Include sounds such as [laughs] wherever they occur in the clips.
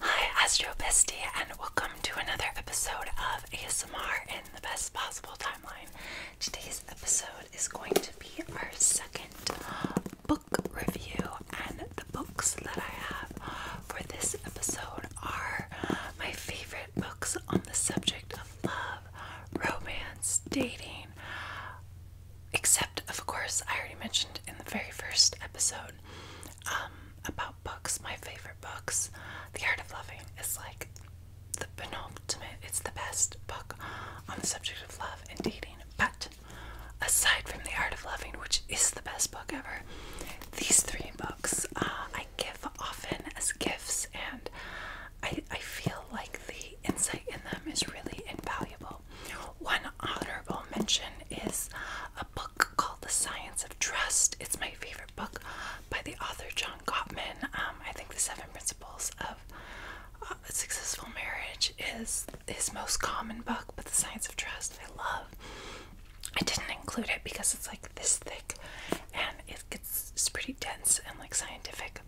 Hi, Astro Bestie, and welcome to another episode of ASMR in the best possible timeline. Today's episode is going to be our second book review, and the books that I have for this episode are my favorite books on the subject of love, romance, dating. Except, of course, I already mentioned in the very first episode um, about books, my favorite books. The Art of Loving is like the penultimate, it's the best book on the subject of love and dating. But aside from The Art of Loving, which is the best book ever, these three books uh, I give often as gifts, and I, I feel like the insight in them is really invaluable. One honorable mention is book called The Science of Trust. It's my favorite book by the author John Gottman. Um, I think The Seven Principles of uh, Successful Marriage is his most common book, but The Science of Trust I love. I didn't include it because it's like this thick and it gets it's pretty dense and like scientific.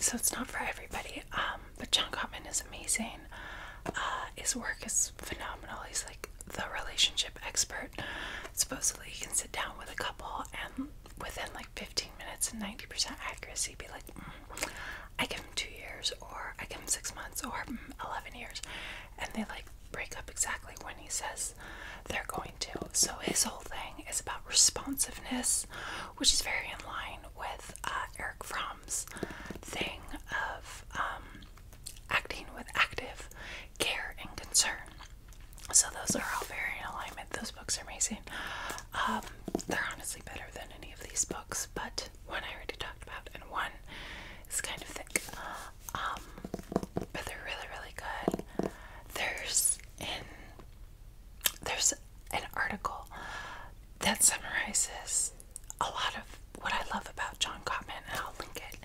So it's not for everybody. Um, but John Gottman is amazing. Uh, his work is phenomenal. He's like the relationship expert. Supposedly, he can sit down with a couple and within like 15 minutes and 90% accuracy, be like, mm, I give him two years, or I give him six months, or mm, 11 years. And they like break up exactly when he says they're going to. So, his whole thing is about responsiveness, which is very in line with uh, Eric Fromm's thing of um, acting with active care and concern. So those are all very in alignment. Those books are amazing. Um, they're honestly better than any of these books, but one I already talked about, and one is kind of thick. Um, but they're really, really good. There's in there's an article that summarizes a lot of what I love about John Gottman, and I'll link it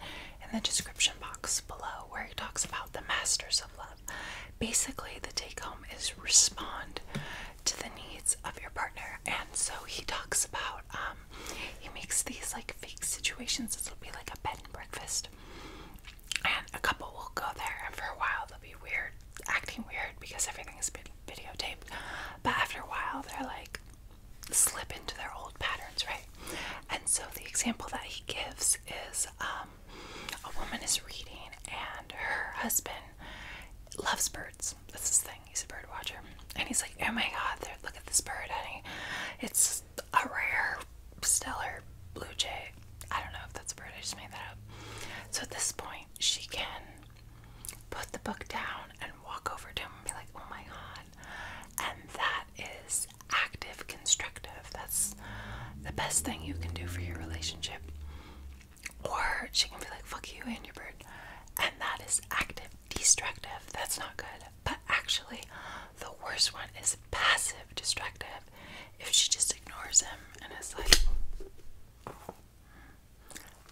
in the description box below, where he talks about the masters of love. Basically, the take home is respond to the needs of your partner, and so he talks about um, he makes these like fake situations. This will be like a bed and breakfast, and a couple will go there, and for a while they'll be weird, acting weird because everything is being videotaped. But after a while, they're like, slip into their old patterns, right? And so the example that he gives is um, a woman is reading, and her husband loves birds. That's his thing. He's a bird watcher, and he's like, "Oh my God! look at this bird, honey! It's a rare stellar blue jay." I don't know if that's a bird. I just made that up. So at this point, she can put the book down and walk over to him and be like, oh my god. And that is active constructive. That's the best thing you can do for your relationship. Or she can be like, fuck you and your bird. And that is active destructive. That's not good. But actually, the worst one is passive destructive. If she just ignores him and is like,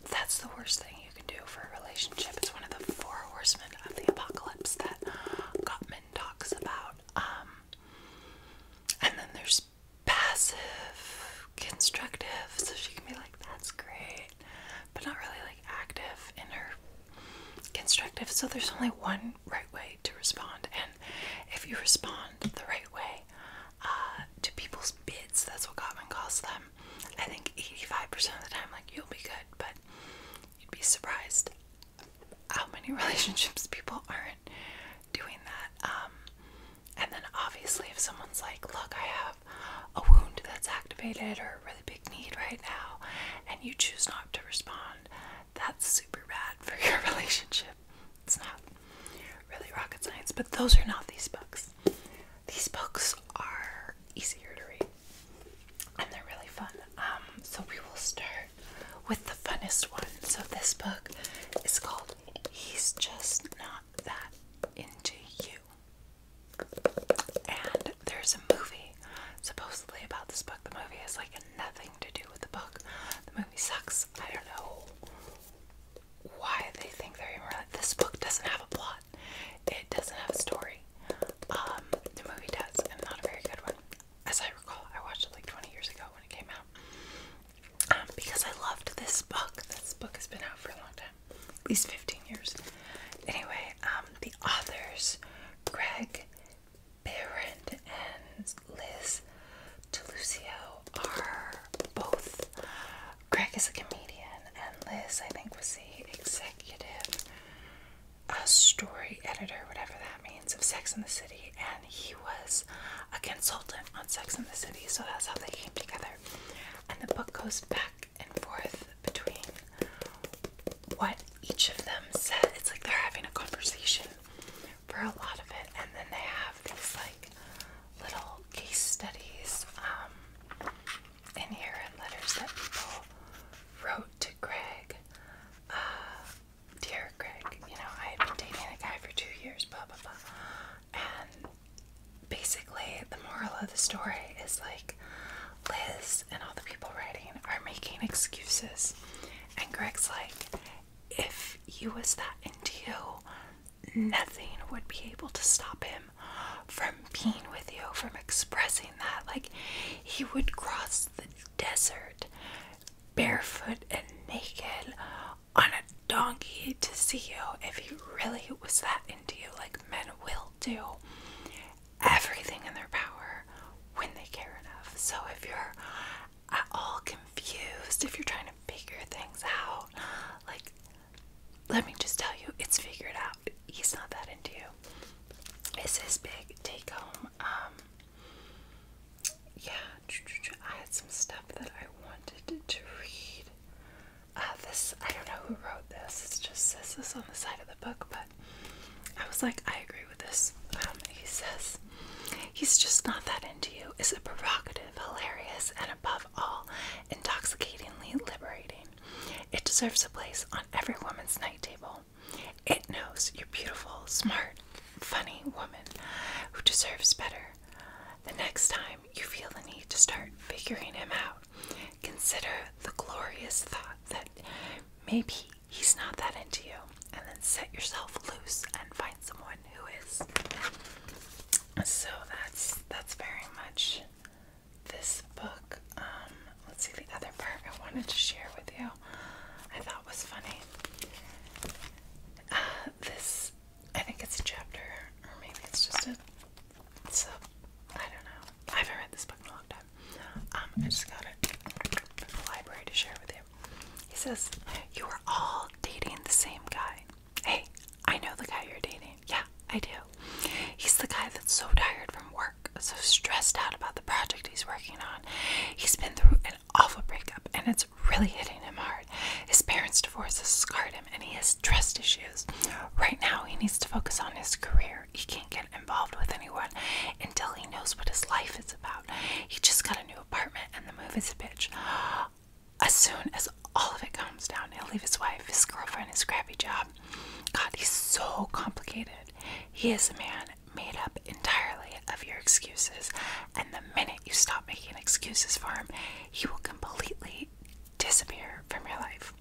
that's the worst thing you can do for a relationship. It's one of the four horsemen of the apocalypse that Gottman talks about. Um, and then there's passive, constructive. So she can be like, that's great, but not really like active in her constructive. So there's only one right way to respond. And if you respond the right way uh, to people's bids, that's what Gottman calls them, I think 85% of the time, like, you'll be good, but you'd be surprised how many [laughs] relationships people aren't doing that. Um, and then obviously, if someone's like, look, I have a wound that's activated or a really big need right now, and you choose not to respond, that's super bad for [laughs] your relationship. It's not really rocket science, but those are not these books. These books are easier to read and they're really fun. Um, so we will start with the funnest one. So this book is called He's Just Not That Into You. And there's a movie supposedly about this book. The movie has like nothing to do with the book. The movie sucks. I don't know why they think they're even. This book doesn't have a plot. It doesn't have a story. Um, the movie does, and not a very good one. As I recall, I watched it like 20 years ago when it came out. Um, because I loved this book. This book has been out for a long time. At least 15 years. Anyway, um, the authors, Greg Barron and Liz Delucio, are both Greg is a comedian, and Liz, I think, was the executive uh, story editor, whatever that means, of Sex in the City, and he was a consultant on Sex in the City, so that's how they came together. And the book goes back and forth between what each of them said. It's like they're having a conversation for a lot of it, and then they have these like little case studies. Um, in here are letters that people wrote to Greg. Uh, dear Greg, you know, I had been dating a guy for two years, blah, blah, blah. And basically, the moral of the story is like Liz and all the people writing are making excuses. And Greg's like, if he was that into you, nothing would be able to stop him from being with you, from expressing that. Like, he would cross the desert barefoot and naked on a donkey to see you if he really was that into you, like men will do everything in their power when they care enough. So if you're at all confused, if you're trying to figure things out, like let me just tell you, it's figured out. He's not that into you. It's his big take home. Um, yeah, I had some stuff that I wanted to read. Uh, this, I don't know who wrote this. It just says this on the side of the book, but I was like, I agree with this. Um, he says, he's just not that into you It's a provocative, hilarious, and above all, intoxicatingly liberating. It deserves a place on every woman's night table. It knows you're beautiful, smart, funny woman who deserves better. The next time you feel the need to start figuring him out, consider the glorious thought that maybe he's not that into you, and then set yourself loose and find someone who is. So that's that's very much this book. Um, let's see the other part I wanted to share with you. I thought was funny. [sighs] this, I think it's a chapter, or maybe it's just a So I don't know. I haven't read this book in a long time. Um, I just got it from the library to share with you. He says, You are all dating the same guy. Hey, I know the guy you're dating. Yeah, I do. He's the guy that's so tired from work, so stressed out about the project he's working on. He's been through an awful breakup and it's really hitting him hard. His parents' divorce has scarred him and he has trust issues. Right now, he needs to focus on his career. He can't get involved with anyone until he knows what his life is about. He just got a new apartment and the move is a bitch. As soon as all of it calms down, he'll leave his wife, his girlfriend, his crappy job, God, he's so complicated. He is a man made up entirely of your excuses, and the minute you stop making excuses for him, he will completely disappear from your life.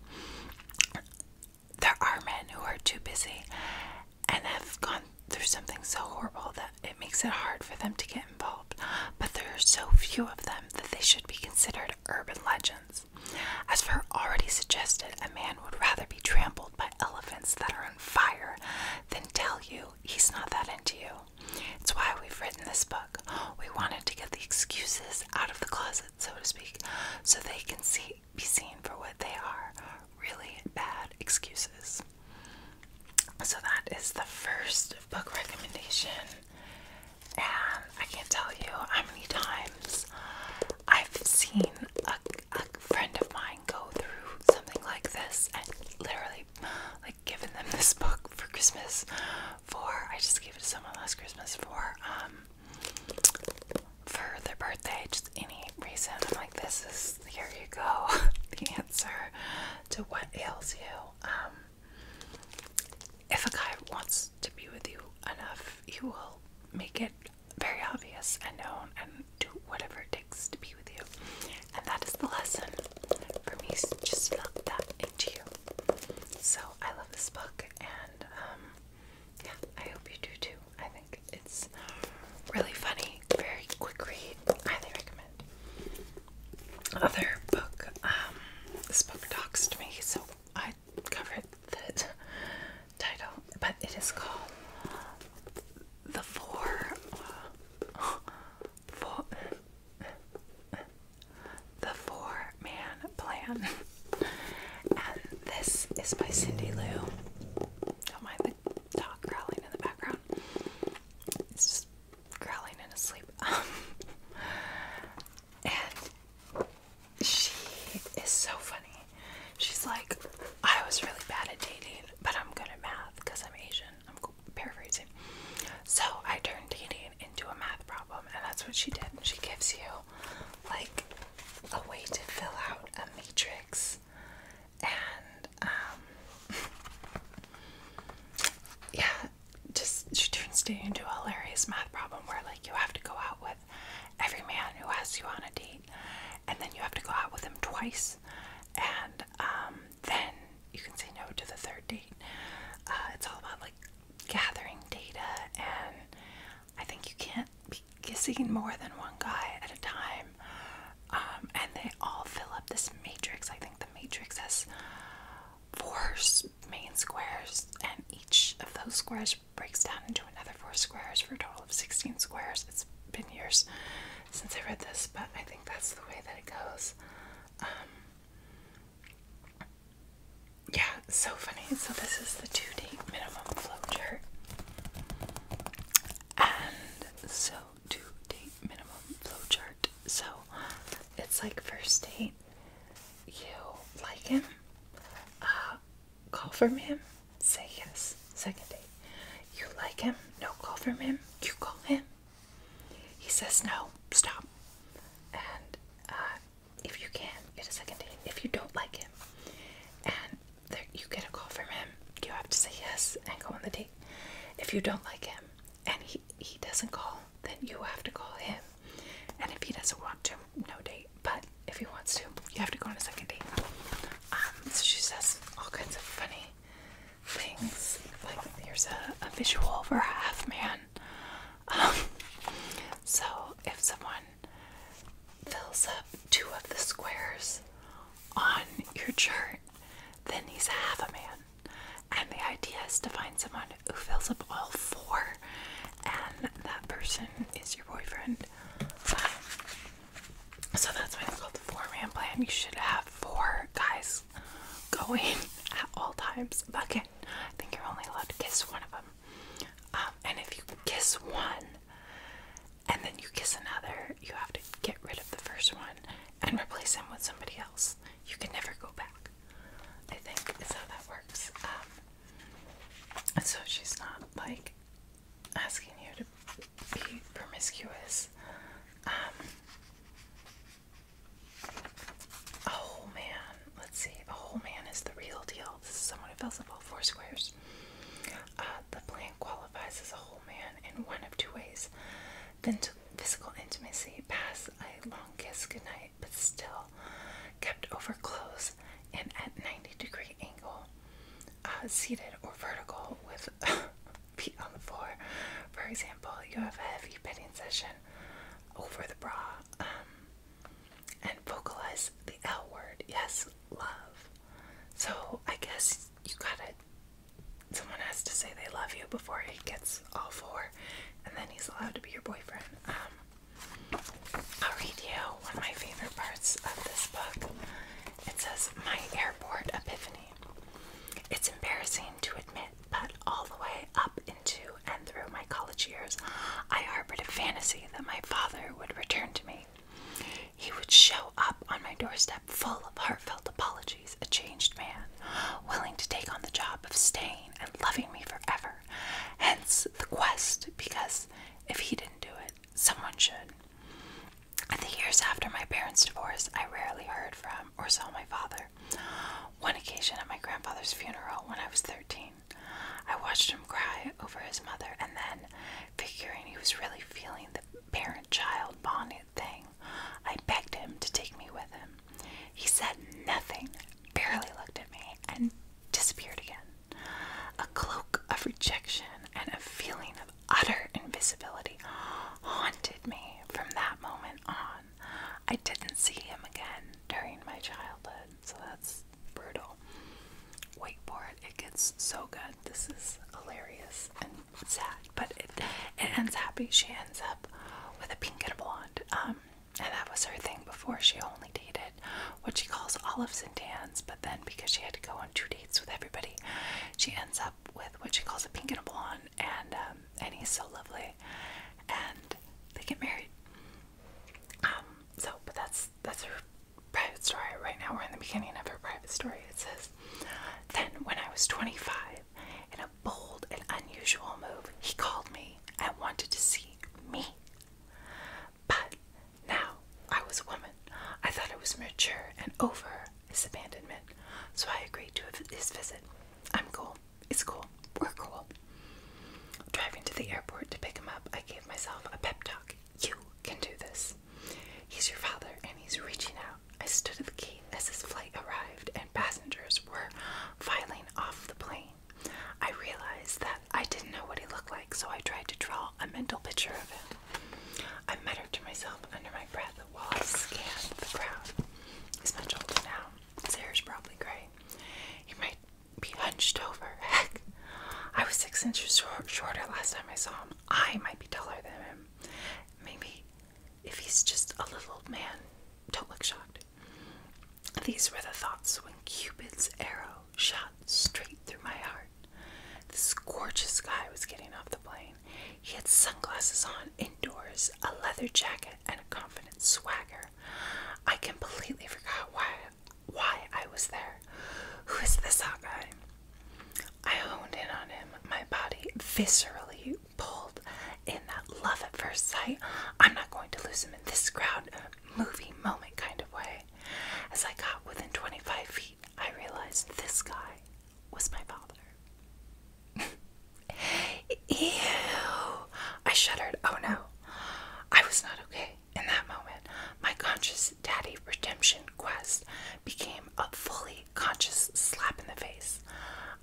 There are men who are too busy and have gone through something so horrible that it makes it hard for them to get involved, but there are so few of them that they should be considered urban legends elephants. As Fur already suggested, a man would rather be trampled by elephants that are on fire than tell you he's not that into you. It's why we've written this book. We wanted to get the excuses out of the closet, so to speak, so they can be seen for what they are really bad excuses. So, that is the first book recommendation and I can't tell you how many times I've seen a, friend of mine go through something like this and literally like giving them this book for Christmas for I just gave it to someone last Christmas for um for their birthday, just any reason. I'm like, this is here you go, [laughs] the answer to what ails you. Um if a guy wants to be with you enough, you will make it very obvious and known and do whatever it takes to be with you. And that is the lesson for me. Just felt that into you. So I love this book, and um, yeah, I hope you do too. I think it's really funny, very quick read. Highly recommend. Other book. Um, this book talks to me, so I covered the title, but it is called The Four. four the Four Man Plan. and this is by Cindy Lou. Don't mind the dog growling in the background. It's just growling in his sleep. [laughs] And she is so funny. She's like, I was really bad at dating, but I'm good at math because I'm Asian. I'm paraphrasing. So I turned dating into a math problem, and that's what she did. she gives you like a way to fill out a matrix, and um, [laughs] yeah, just she turns dating into a hilarious math problem where like you have to go out with every man who asks you on a date, and then you have to go out with him twice, and um, then you can say no to the third date. Uh, it's all about like gathering data, and I think you can't be kissing more than one guy at a time. Um, and they all fill up this matrix. I think the matrix has four main squares, and each of those squares breaks down into another four squares for a total of 16 squares. It's been years since I read this, but I think that's the way that it goes. Um, yeah, so funny. So, this is the 2 day minimum flowchart. And so, 2 day minimum flowchart. So, it's like first date, you like him, uh, call from him, say yes. Second date. You like him, no call from him, you call him. He says no, stop. And uh, if you can, get a second date. If you don't like him, and you get a call from him, you have to say yes and go on the date. If you don't like him and he, he doesn't call, then you have to call him and if he doesn't want to, no date. But if he wants to, you have to go on a second date. Um, so she says all kinds of funny things. Like here's a, visual for half man. Um, so if someone fills up two of the squares on your chart, then he's half a man. And the idea is to find someone who fills up all four and that person is your boyfriend. so that's why it's called the four man plan. You should have four guys going [laughs] at all times. But again, I think you're only allowed to kiss one of them. Um, and if you kiss one and then you kiss another, you have to get rid of the first one and replace him with somebody else. You can never go back. I think is how that works. Um, so she's not like asking you to be promiscuous. a um, whole oh, man, let's see, a oh, whole man is the real deal. This is someone who fills up all four squares. Uh, the plant qualifies as a whole man in one of two ways. Then physical intimacy, pass a long kiss goodnight but still kept over close and at 90 degree angle, uh, seated or vertical with [laughs] feet on the floor. For example, you have a heavy petting session over the bra um, and vocalize the L word. Yes, love. So I guess you got it. someone has to say they love you before he gets all four and then he's allowed to be your boyfriend. Um, I'll read you one of my favorite parts of this book. It says, My Airport Epiphany. It's embarrassing to admit, but all the way up into and through my college years, I harbored a fantasy that my father would return to me. He would show up on my doorstep full of heartfelt apologies, a changed man, willing to take on the job of staying and loving me forever. Hence the quest, because if he didn't do it, someone should. In the years after my parents' divorce, I rarely heard from or saw my father. One occasion at my grandfather's funeral when I was 13, I watched him cry over his mother and then, figuring he was really feeling the parent child bond thing, I begged him to take me with him. He said nothing, barely looked at me, and disappeared again a cloak of rejection and a feeling of utter invisibility haunted me from that moment on. I didn't see him again during my childhood, so that's brutal. Wait for it, it gets so good. This is hilarious and sad, but it, ends happy. She ends up with a pink and blonde. Um, and that was her thing before. She only dated what she calls olives and tans, but then because she had to go on two dates with everybody, she ends up with what she calls a pink and a blonde, and um, and he's so lovely, and they get married. Um. So, but that's that's her private story. Right now, we're in the beginning of her private story. It says, "Then when I was 25, in a bold and unusual move, he called me and wanted to see me." But now I was a woman. I thought I was mature and over his abandonment, so I agreed to his visit. I'm cool. It's cool. We're cool. Driving to the airport to pick him up, I gave myself a pep talk. You can do this. He's your father, and he's reaching out. I stood at the gate as his flight arrived, and passengers were filing off the plane. I realized that I didn't know what he looked like, so I tried to draw a mental picture of him. I muttered to myself under my breath while I scanned the crowd. He's much older now. His hair is probably gray. He might be hunched over. [laughs] Heck, I was six inches shorter last time I saw him. I might be taller than him. Maybe if he's just a little old man, don't look shocked. These were the thoughts when Cupid's arrow shot straight through my heart. This gorgeous guy was getting off the plane. He had sunglasses on indoors, a leather jacket, and a confident swagger. I completely forgot why why I was there. Who is this hot guy? I honed in on him. My body viscerally pulled in that love at first sight. I'm not going to lose him in this crowd movie moment kind of way. As I got within 25 feet, I realized this guy was my father. [laughs] Ew! I shuddered. Oh no. I was not okay in that moment. My conscious daddy redemption quest became a fully conscious slap in the face.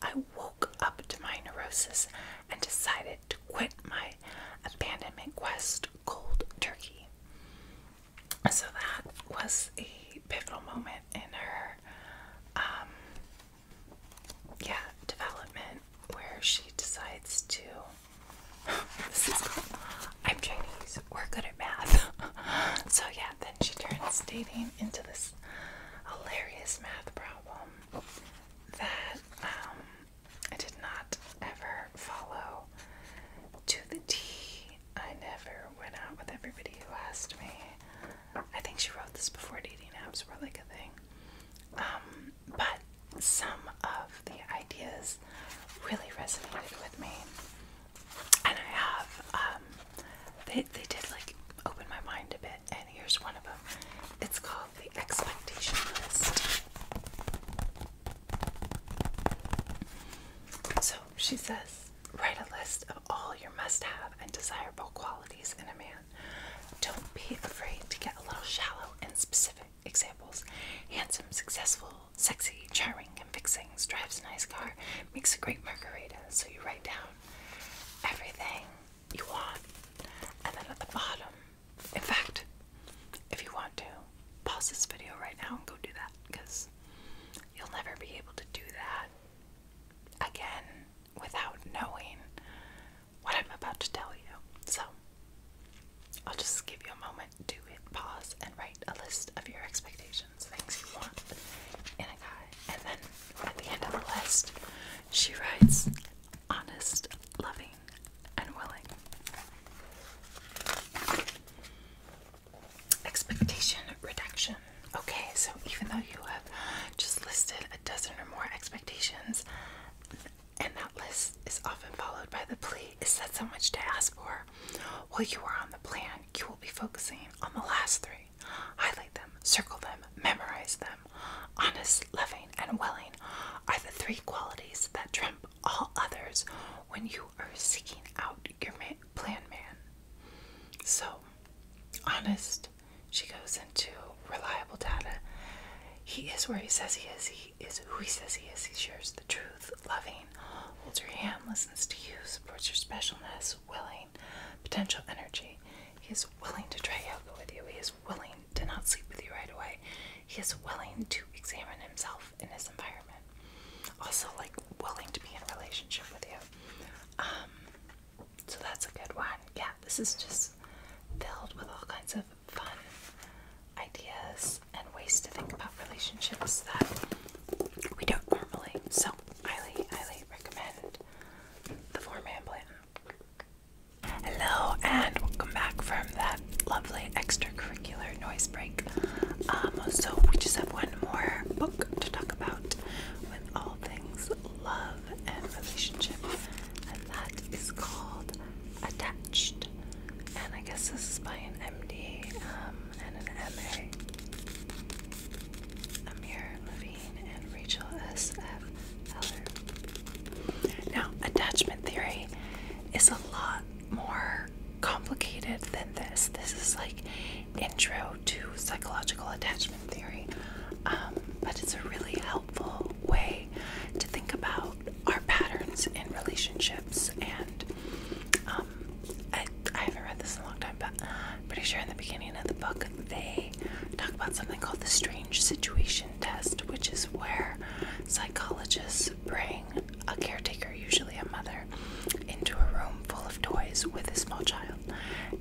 I woke up to my neurosis and decided to quit my Abandonment Quest Cold Turkey. So that was a pivotal moment in her, um, yeah, development where she decides to. [laughs] this is cool. I'm Chinese. We're good at math. [laughs] so yeah, then she turns dating into this hilarious math problem that um, I did not ever follow to the T. I never went out with everybody who asked me. I think she wrote this before dating apps were like a thing. Um, but some of the ideas really resonated with me. And I have, um, they, they did like open my mind a bit, and here's one of them. It's called the expectation list. So she says, write a list of all your must have and desirable qualities in a man. Don't be afraid to get a little shallow and specific. Examples handsome, successful, sexy, charming, convincing, drives a nice car, makes a great margarita. So you write down everything you want, and then at the bottom, in fact, if you want to, pause this video right now and go do that because you'll never be able to do that again without knowing what I'm about to tell you. So, I'll just give you a moment to hit pause and write a list of your expectations, things you want in a guy. And then at the end of the list, she writes honest, loving, and willing. Expectation reduction. Okay, so even though you have just listed a dozen or more expectations, and that list is often followed by the plea, is that so much to ask for? While you are on the plan, you will be focusing on the last three. Highlight them, circle them, memorize them. Honest, loving, and willing are the three qualities that all others when you are seeking out your plan man. So, honest, she goes into reliable data. He is where he says he is, he is who he says he is, he shares the truth, loving, holds your hand, listens to you, supports your specialness, willing, potential energy. He is willing to try yoga with you, he is willing to not sleep with you right away. He is willing to examine himself in his environment. Also, like, willing to be in a relationship with you. Um, so that's a good one. Yeah, this is just filled with all kinds of fun ideas and ways to think about relationships that we don't normally. So, highly, highly recommend the four man plan. Hello and welcome back from that lovely extracurricular noise break. Um, so we just have one more book to talk about with all things love and relationship, and that is called Attached. And I guess this is by an MD um, and an MA. Amir Levine and Rachel S. F. Heller. Now, attachment theory is a lot more complicated than this. This is like intro to psychological attachment theory, um, but it's a really helpful way to think about our patterns in relationships. And um, I, I haven't read this in a long time, but I'm pretty sure in the beginning of the book they talk about something called the strange situation test, which is where psychologists bring a caretaker, usually a mother, into a room full of toys with a small child,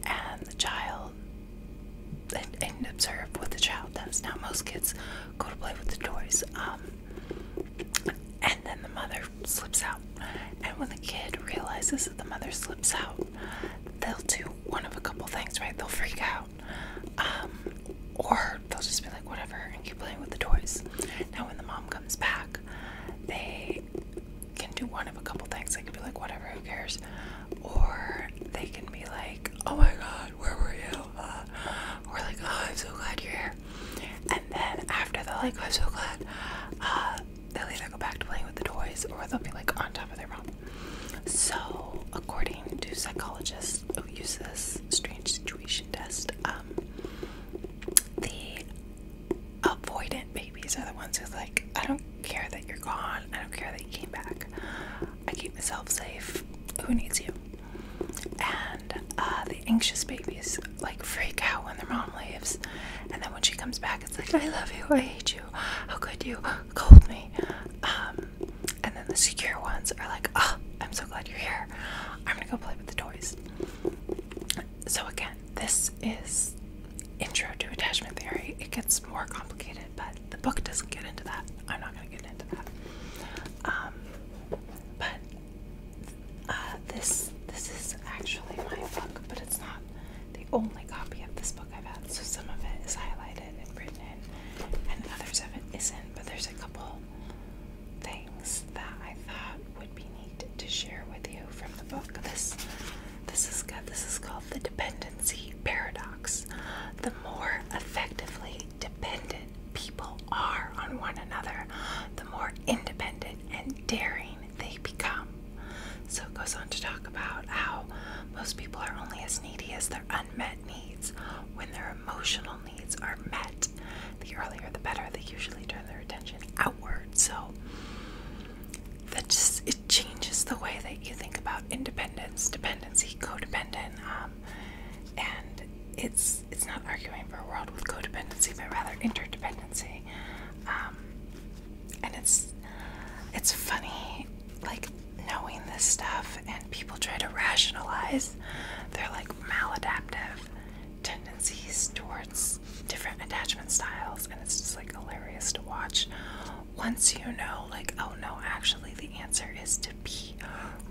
and the child and, observe what the child does. Now, most kids go to play with the toys, um, and then the mother slips out. And when the kid realizes that the mother slips out, they'll do one of a couple things, right? They'll freak out um, or they'll just be like, whatever, and keep playing with the toys. Now, when the mom comes back, they can do one of a couple things. They can be like, whatever, who cares? Or they can be like, oh my god, where were you? Uh, or like, oh, I'm so glad you're here. And then after they like, I'm so glad, uh, they'll either go back to playing with the toys or they'll be like on top of their mom. So, according to psychologists who use this strange situation test. Um, the avoidant babies are the ones who like, I don't care that you're gone. I don't care that you came back. I keep myself safe. Who needs you? And uh, the anxious babies like freak out when their mom leaves, and then when she comes back, it's like, I love you. I hate you. How could you? Cold me. Um, and then the secure ones are like, "Ah, oh, I'm so glad you're here. I'm gonna go play with the toys." So again, this is intro to attachment theory. It gets more complicated, but the book doesn't get into that. I'm not gonna get into that. Um, but uh, this this is actually my book, but it's not the only copy of this book I've had. So some of it is highlighted and written in, and others of it isn't. But there's a couple things that I thought would be neat to share with you from the book. This is This is called the dependency paradox. The more effectively dependent people are on one another, the more independent and daring they become. So it goes on to talk about how most people are only as needy as their unmet needs when their emotional needs are met, the earlier the better. They usually turn their attention outward. So that just it changes the way that you think about independence, dependency, codependent, um, and it's it's not arguing for a world with codependency, but rather interdependency. Um, and it's it's funny, like knowing this stuff and people try to rationalize their like maladaptive tendencies towards different attachment styles and it's just like hilarious to watch once you know like oh no actually the answer is to be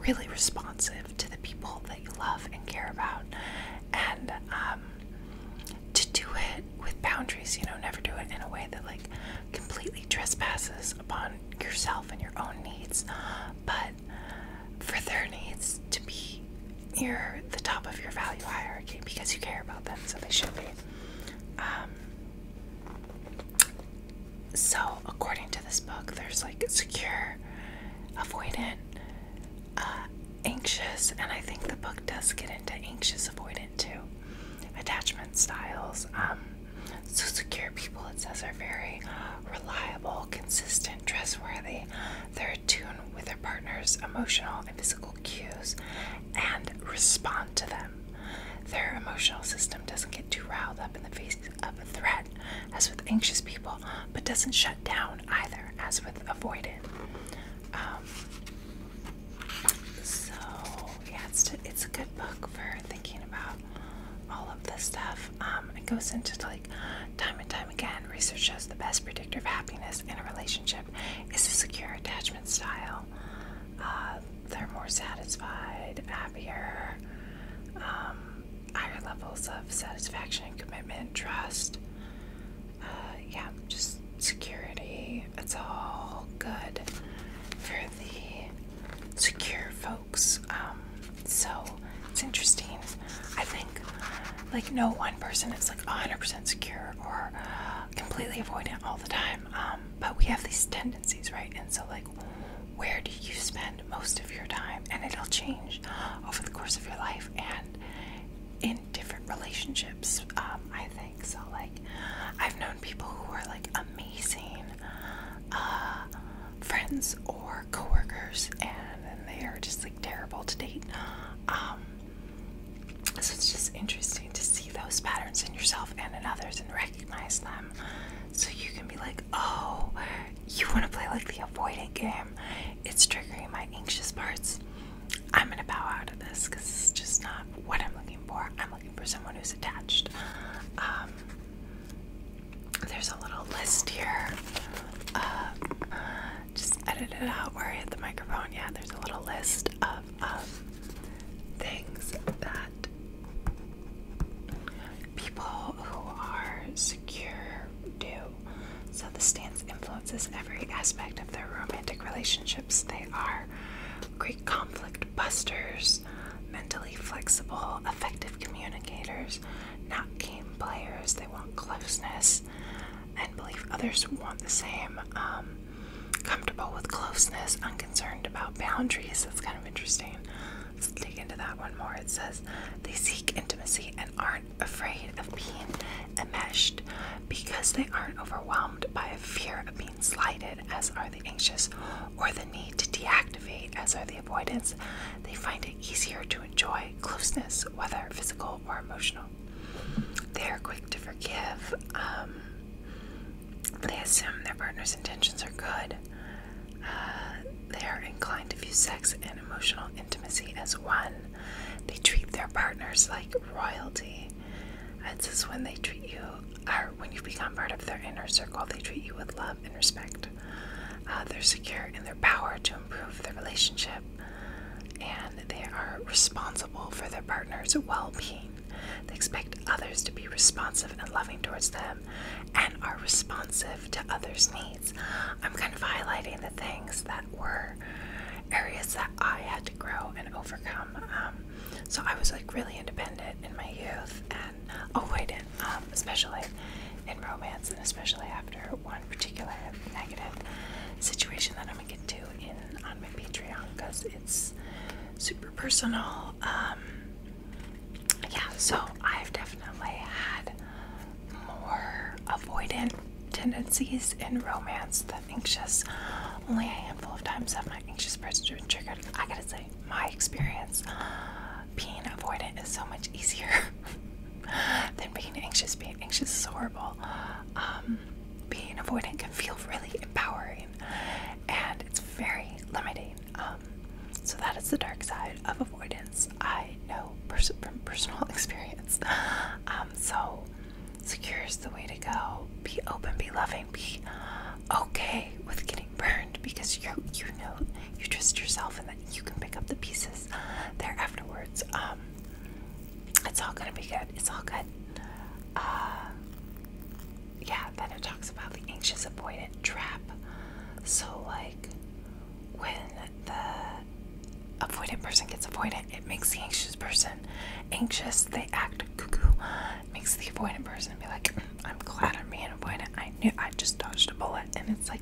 really responsive to the people that you love and care about and um to do it with boundaries you know never do it in a way that like completely trespasses upon yourself and your own needs but for their needs to be near the top of your value hierarchy because you care about them, so they should be. Um, so, according to this book, there's like secure, avoidant, uh, anxious, and I think the book does get into anxious, avoidant too, attachment styles. Um, so secure people, it says, are very reliable, consistent, trustworthy. They're attuned with their partner's emotional and physical cues and respond to them. Their emotional system doesn't get too riled up in the face of a threat, as with anxious people, but doesn't shut down either, as with avoidant. Um, so yeah, it's, it's a good book for thinking about all of this stuff. Um, it goes into like time and time again. Research shows the best predictor of happiness in a relationship is a secure attachment style. Uh, they're more satisfied, happier, um, higher levels of satisfaction, commitment, trust. Uh, yeah, just security. It's all good for the secure folks. Um, so it's interesting. I think like no one person is like 100% secure or completely avoidant all the time. Um, but we have these tendencies, right? And so like where do you spend most of your time? And it'll change over the course of your life and in different relationships, um, I think. So like I've known people who are like amazing amazing uh, friends or coworkers, and they are just like terrible to date. Um, so it's just interesting to see those patterns in yourself and in others and recognize them, so you can be like, oh, you want to play like the avoidant game? It's triggering my anxious parts. I'm gonna bow out of this because it's just not what I'm looking for. I'm looking for someone who's attached. Um, there's a little list here. Uh, uh, just edited out where I hit the microphone. Yeah, there's a little list of things that people who are secure do. So the stance influences every aspect of their romantic relationships. They are great conflict busters, mentally flexible, effective communicators not game players. They want closeness and believe others want the same. Um, comfortable with closeness, unconcerned about boundaries. That's kind of interesting. Let's dig into that one more. It says they seek intimacy and aren't afraid of being enmeshed because they aren't overwhelmed by a fear of being slighted, as are the anxious, or the need to deactivate, as are the avoidance, they find it easier to enjoy closeness, whether physical or emotional. They are quick to forgive. Um, they assume their partner's intentions are good. Uh, they are inclined to view sex and emotional intimacy as one. They treat their partners like royalty. It just when they treat you, or when you have become part of their inner circle, they treat you with love um, and respect. Uh, they're secure in their power to improve the relationship, and they are responsible for their partner's well being. They expect others to be responsive and loving towards them and are responsive to others' needs. I'm kind of highlighting the things that were areas that I had to grow and overcome. Um, so I was like really independent in my youth and oh wait, um, especially in romance, and especially after one particular negative situation that I'm gonna get to in on my Patreon because it's super personal. Um, yeah, so I've definitely had more avoidant tendencies in romance than anxious. Only a handful of times have my anxious parts been triggered. I gotta say, my experience being avoidant is so much easier [laughs] than being anxious. Being anxious is horrible. Um, being avoidant can feel really empowering, and it's very limiting. Um, so that is the dark side of avoidance. I know from personal [laughs] experience. Um, so secure is the way to go. Be open. Be loving. Be okay with getting burned because you you know you trust yourself and that you can pick up the pieces there afterwards. Um, it's all gonna be good. It's all good. Uh, yeah. Then it talks about the anxious avoidant trap. So like when the avoidant person gets avoidant, it makes the anxious person anxious. They act cuckoo. makes the avoidant person be like, I'm glad I'm being avoidant. I knew I just dodged a bullet, and it's like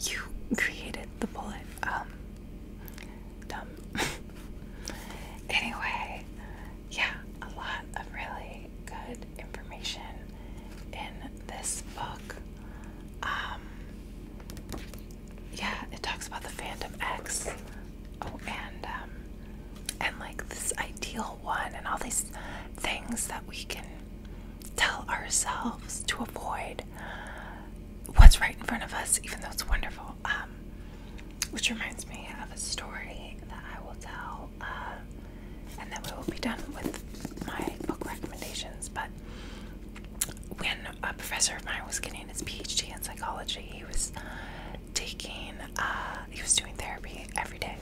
you created the bullet. Um, dumb. [laughs] anyway, yeah, a lot of really good information in this book. Um, yeah, it talks about the Phantom X. Oh, and um, and like this ideal one, and all these things that we can tell ourselves to avoid what's right in front of us, even though it's wonderful. Um, which reminds me of a story that I will tell, uh, and then we will be done with my book recommendations. But when a professor of mine was getting his PhD in psychology, he was taking, uh, he was doing therapy every day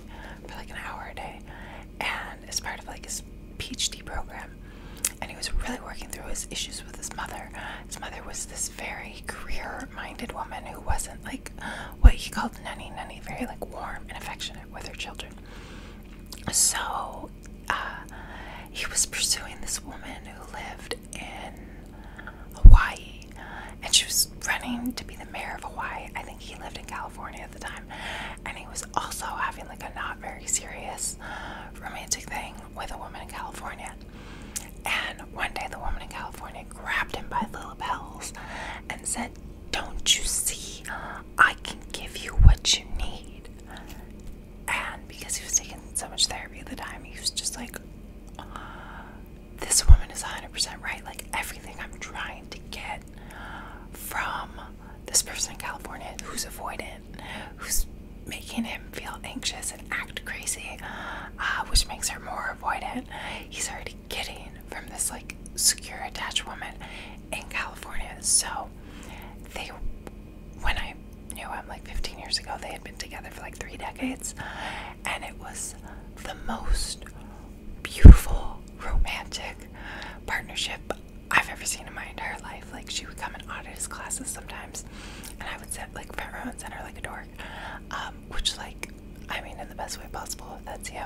for like an hour a day, and as part of like his PhD program. And he was really working through his issues with his mother. His mother was this very career-minded woman who wasn't like what he called nanny nanny, very like warm and affectionate with her children. So uh, he was pursuing this woman who lived in Hawaii, and she was running to be the mayor of Hawaii. I think he lived in California at the time, and he was also having like a not very serious romantic thing with a woman in California. And one day the woman in California grabbed him by the lapels and said, Don't you see? I can give you what you need. And because he was taking so much therapy at the time, he was just like, This woman is 100% right. Like, everything I'm trying to get from um, this person in California who's avoidant, who's making him feel anxious and act crazy, uh, which makes her more avoidant. He's already getting from this like secure attached woman in California. So they, when I knew him like 15 years ago, they had been together for like three decades, and it was the most beautiful, romantic partnership I've ever seen in my entire life. Like, she would come and audit his classes sometimes, and I would sit like front row and center like a dork, um, which, like, I mean, in the best way possible. That's you.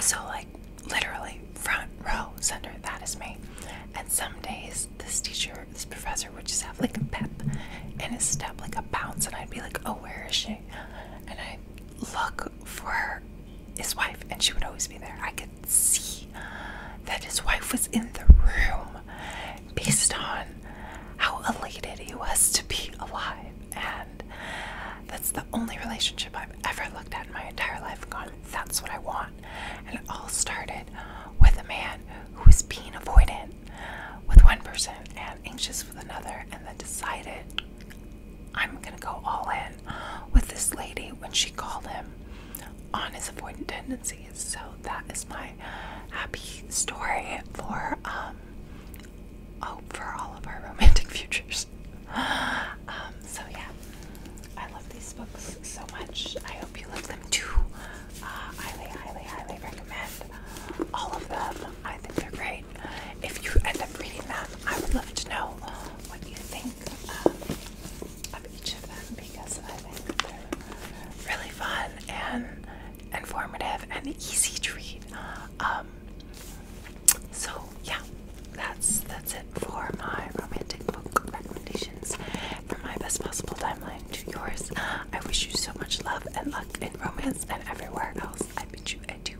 So, like, literally, front row center, that is me. And some days, this teacher, this professor would just have like a pep in his step, like a bounce, and I'd be like, Oh, where is she? And I look for his wife, and she would always be there. I could see that his wife was in the room based on how elated he was to be alive. And that's the only relationship I've ever looked at in my entire life gone, that's what I want. And it all started with a man who was being avoidant with one person and anxious with another, and then decided I'm gonna go all in with this lady when she called him on his avoidant tendencies. So that is my happy story for um oh, for all of our [laughs] romantic futures. Um, so yeah, I love these books so much. I hope you love them too. Uh, highly, highly, highly recommend all of them. I think they're great. If you end up reading them, I would love to know what you think um, of each of them because I think they're really fun and informative and easy to read. Um, so yeah, that's that's it for my romantic book recommendations from my best possible timeline to yours. I wish you so much love and luck in romance and everywhere else. I bet you I do.